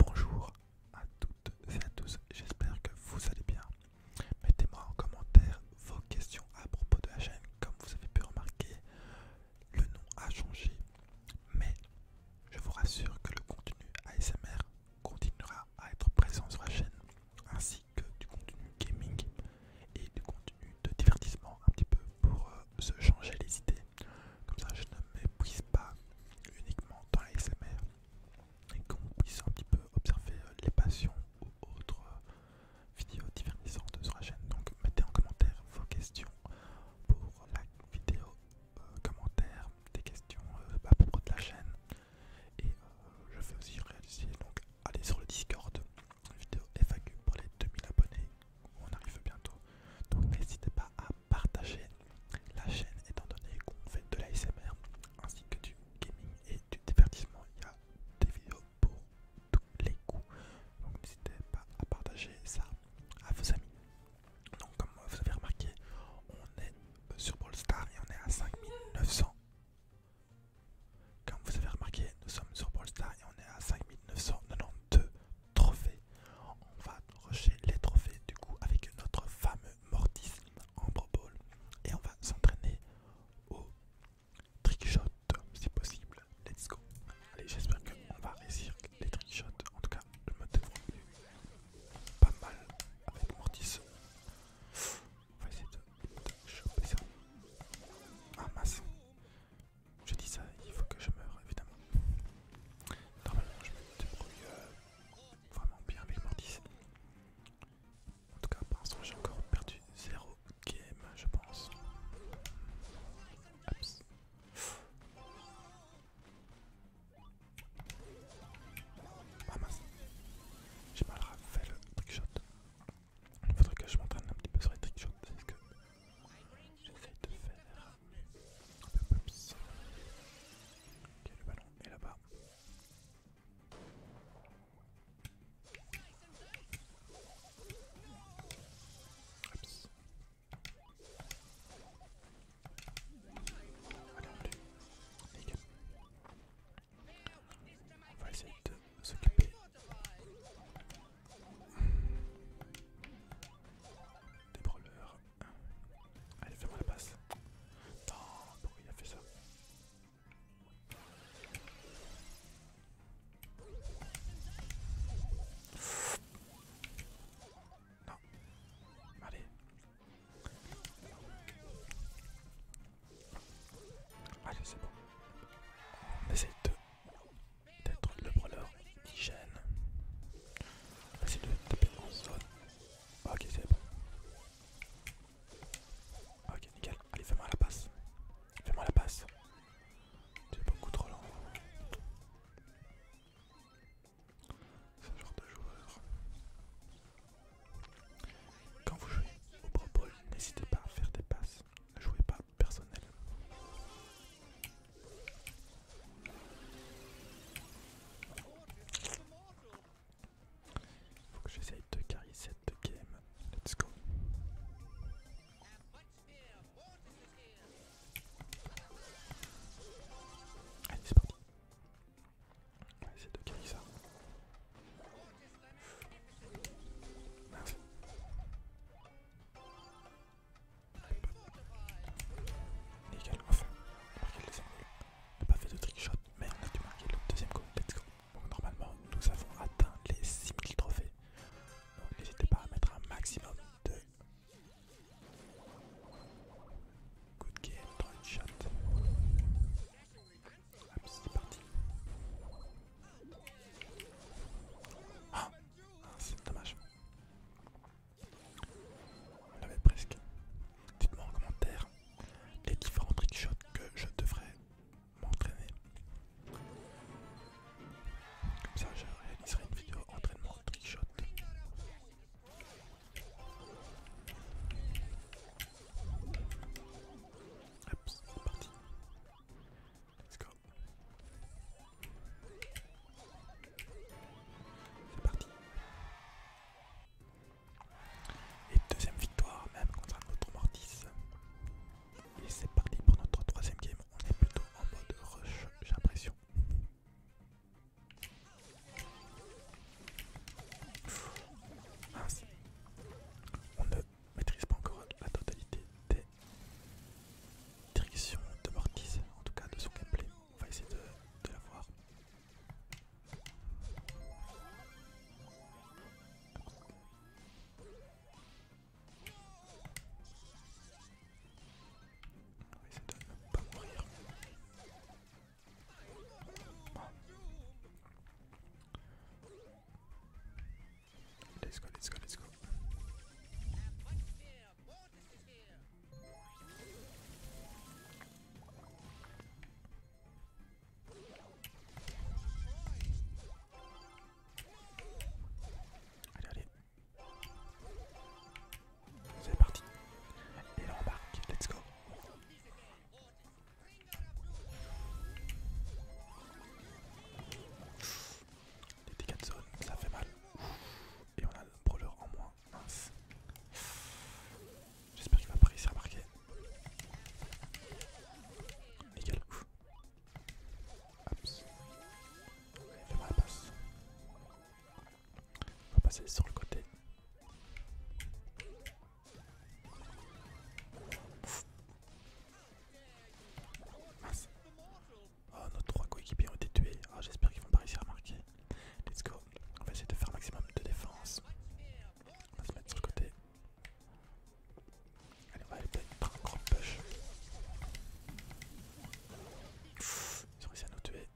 Bonjour à toutes et à tous, j'espère que vous allez bien. Mettez-moi en commentaire vos questions à propos de la chaîne. Comme vous avez pu remarquer, le nom a changé, mais je vous rassure que le contenu ASMR continuera à être présent sur la chaîne, ainsi que du contenu gaming et du contenu de divertissement un petit peu pour euh, se changer les idées. Comme ça, je ne m'épuise pas uniquement dans la et qu'on puisse un petit peu observer euh, les passions ou autres euh, vidéos divertissantes sur la chaîne. Donc, mettez en commentaire vos questions pour la vidéo euh, commentaire, des questions à bah, propos de la chaîne. Et je vais aussi réaliser, donc, allez sur le Discord, vidéo FAQ pour les 2000 abonnés. On arrive bientôt. Donc n'hésitez pas à partager la chaîne étant donné qu'on fait de l'ASMR ainsi que du gaming et du divertissement. Il y a des vidéos pour tous les goûts. Donc n'hésitez pas à partager ça à vos amis. Donc comme vous avez remarqué, on est euh, sur Brawl et on est à 5900. Comme vous avez remarqué, nous sommes sur Brawl et on est à 5992 trophées. On va rusher les trophées du coup avec notre fameux Mortis Ambre Ball et on va s'entraîner au trickshot si possible. Let's go. Allez, j'espère qu'on va réussir les trickshots. En tout cas, je me débrouille pas mal avec Mortis. On va essayer de, choper ça. Ah, je dis ça, il faut que je meure évidemment. Normalement je me débrouille euh, vraiment bien avec Mortis. En tout cas pour l'instant j'ai encore perdu 0 game je pense. Ah mince, j'ai mal fait le trickshot. Il faudrait que je m'entraîne un petit peu sur les trickshots, parce que J'essaie de faire un peu plus. Ok, le ballon est là-bas. Oups. Allez, on Nickel. On va essayer de s'occuper des brawlers. Allez, fais-moi la passe. Non, pourquoi il a fait ça Non. Allez. Allez, c'est bon. Mais essaye deux d'être le brawler hygiène. Vas-y de taper en zone. Ok c'est bon. Ok nickel. Allez fais-moi la passe. Fais-moi la passe. tu es beaucoup trop lent. Ce genre de joueur. Quand vous jouez au Pro n'hésitez pas à faire des passes. Ne jouez pas personnel. Faut que j'essaye de carry cette game. Let's go. Allez, c'est parti. On va de carrer ça. merci Nickel, on a pas fait de trickshot, mais on a dû marquer le deuxième coup, Let's go. normalement, nous avons atteint les 6000 trophées. Donc, n'hésitez pas à mettre un maximum de. Good game, shot Hop, c'est parti. Ah c'est dommage. On l'avait presque. Dites-moi en commentaire les différents trickshots que je devrais m'entraîner. Comme ça, je réaliserai une vidéo entraînement trickshot. Hop, c'est parti. C'est parti. Et deuxième victoire, même contre un autre Mortis. Et c'est parti pour notre troisième game. On est plutôt en mode rush, j'ai l'impression. On ne maîtrise pas encore la totalité des directions de Mortis, en tout cas de son gameplay. On va essayer de, la voir. On de pas mourir. Let's go, let's go, let's go. Allez, allez. C'est parti. Et là on embarque, let's go. Les dégâts de zone, ça fait mal. Et on a le brawler en moins. J'espère qu'il va pas réussir à marquer. Nickel. fait moi la passe. On va passer sur le côté. Oh, nos trois coéquipiers ont été tués. Ah, j'espère qu'ils vont pas réussir à marquer. Let's go. On va essayer de faire un maximum de défense. On va se mettre sur le côté. Allez, on va aller peut-être par un gros push. ils ont réussi à nous tuer.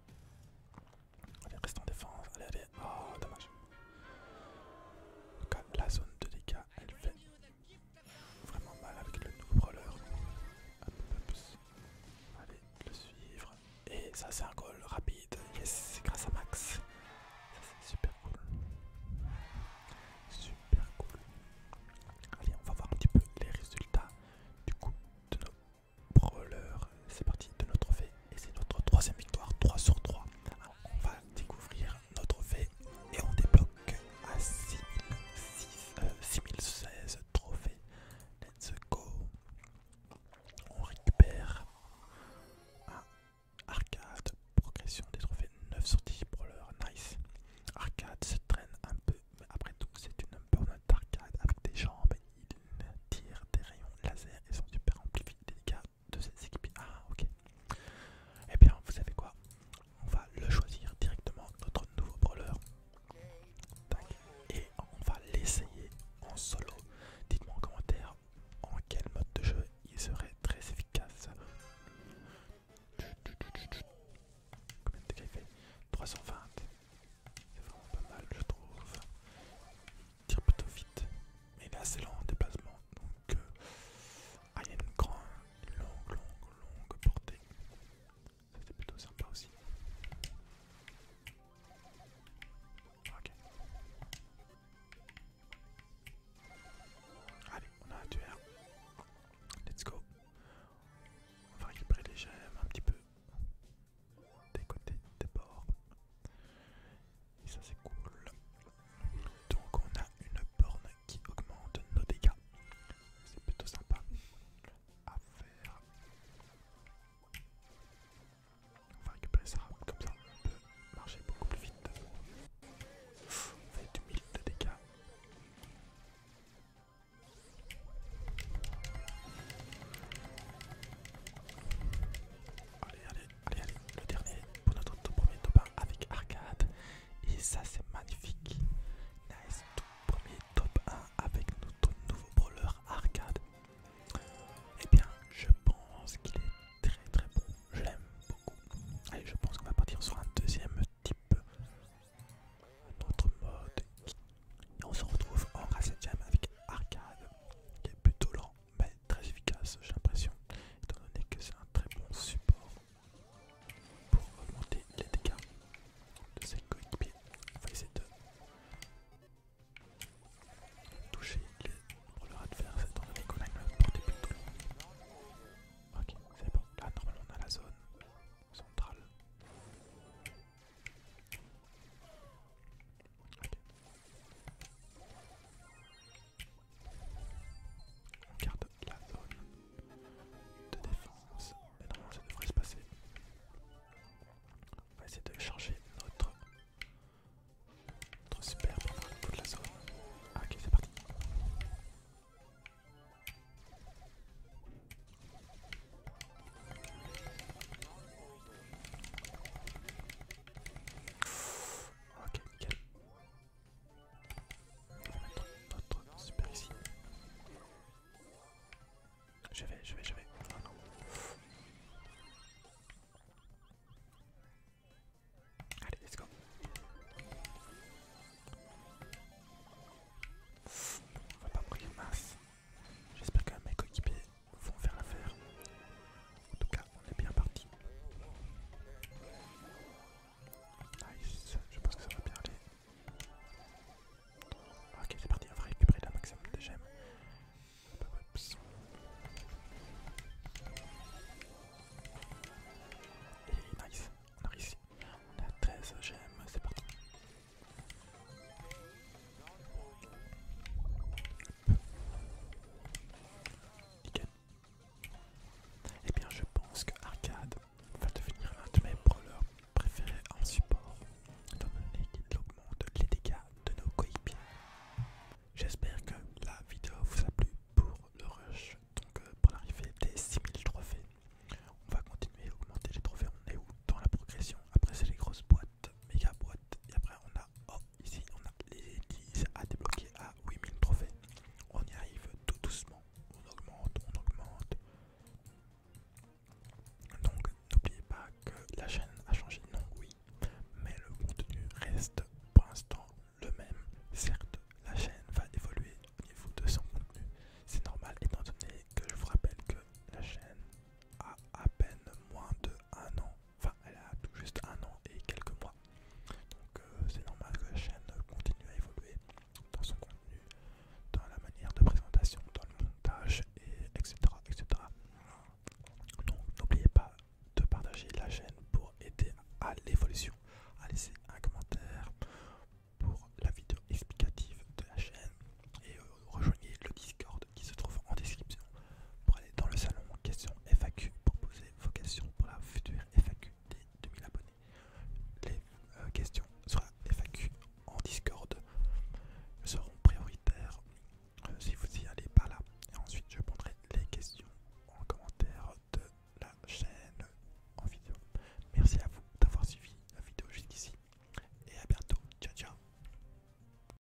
Allez, reste en défense. Allez, allez. Oh, dommage. tout cas, la zone de dégâts, elle fait vraiment mal avec le nouveau brawler. Allez, le suivre. Et ça, c'est un goal rapide. Yes, c'est grâce à Max. c'est super cool. Super cool. Allez, on va voir un petit peu les résultats du coup de nos brawlers. C'est parti de notre fait Et c'est notre troisième victoire, 3 sur 3. on va découvrir notre trophée et on débloque à 6016 euh, trophées. Let's go. On récupère un arcade, progression des trophées 9 sur 10 pour l'heure, nice. Arcade se traîne un peu, mais après tout c'est une burnout d'arcade avec des jambes, il tire des rayons laser et sont super amplifiés, des dégâts de cette équipe. Ah ok. Eh bien vous savez quoi on va le choisir directement, notre nouveau brawler. Et on va l'essayer en solo. Dites-moi en commentaire en quel mode de jeu il serait très efficace. il fait 320. C'est vraiment pas mal, je trouve. Il tire plutôt vite. Mais il est assez lent en déplacement. Donc, euh, ah, il y a une, grande, longue, longue, longue portée. Ça plutôt sympa aussi. Ok. Allez, on a un tueur. Let's go. On va récupérer les gemmes un petit peu. Des côtés, des bords. Et ça c'est cool. Donc on a une borne qui augmente nos dégâts. C'est plutôt sympa à faire. On va récupérer ça, comme ça on peut marcher beaucoup plus vite. on fait du 1000 de dégâts allez, allez, le dernier pour notre tout premier top 1 avec arcade. Et ça, c'est magnifique. Nice, tout premier top 1 avec notre nouveau brawler arcade. et eh bien, je pense qu'il est très très bon. Je l'aime beaucoup. Allez, je pense qu'on va partir sur un deuxième type, un autre mode. Et on se retrouve en 7ème avec arcade qui est plutôt lent, mais très efficace, j'ai l'impression, étant donné que c'est un très bon support pour augmenter les dégâts de ses coéquipiers. On va essayer de toucher les à adverses, étant donné qu'on a une portée plutôt longue. Ok, c'est bon. Là, normalement, on a la zone centrale. On garde la zone de défense. mais non, ça devrait se passer. On va essayer de charger notre, notre super pour faire de la zone. Ah, ok, c'est parti. Ok, ok. Notre super ici. Je vais, je vais, je vais. non. Allez, let's go. On va pas mourir, masse, J'espère que mes coéquipiers vont faire l'affaire. En tout cas, on est bien parti. Nice, je pense que ça va bien aller. Ok, c'est parti, on va récupérer la maximum de gemmes. Et nice, on arrive ici. On a 13 gemmes, c'est parti. Et eh bien, je pense que Arcade va devenir un de mes brawlers préférés en support, le mon qu'il augmente les dégâts de nos coéquipiers. J'espère que la vidéo vous a plu pour le rush, donc euh, pour l'arrivée des 6000 trophées. On va continuer à augmenter les trophées, on est où dans la progression Après c'est les grosses boîtes, méga boîtes, et après on a. Oh, ici on a les 10 à débloquer à 8000 trophées. On y arrive tout doucement. On augmente, on augmente. Donc n'oubliez pas que la chaîne a changé de nom, oui, mais le contenu reste pour l'instant le même. Certes, la chaîne va évoluer au niveau de son contenu. C'est normal étant donné que je vous rappelle que la chaîne a à peine moins de 1 an Enfin, elle a tout juste un an et quelques mois. Donc euh, c'est normal que la chaîne continue à évoluer dans son contenu, dans la manière de présentation, dans le montage, etc. Donc n'oubliez pas de partager la chaîne pour aider à l'évolution, à laisser un commentaire pour la vidéo explicative de la chaîne et euh, rejoignez le Discord qui se trouve en description pour aller dans le salon questions FAQ pour poser vos questions pour la future FAQ des 2000 abonnés. Les euh, questions sur la FAQ en Discord seront prioritaires euh, si vous y allez par là. Et ensuite, je prendrai les questions en commentaire de la chaîne en vidéo. Merci à vous d'avoir suivi la vidéo jusqu'ici et à bientôt. Ciao ciao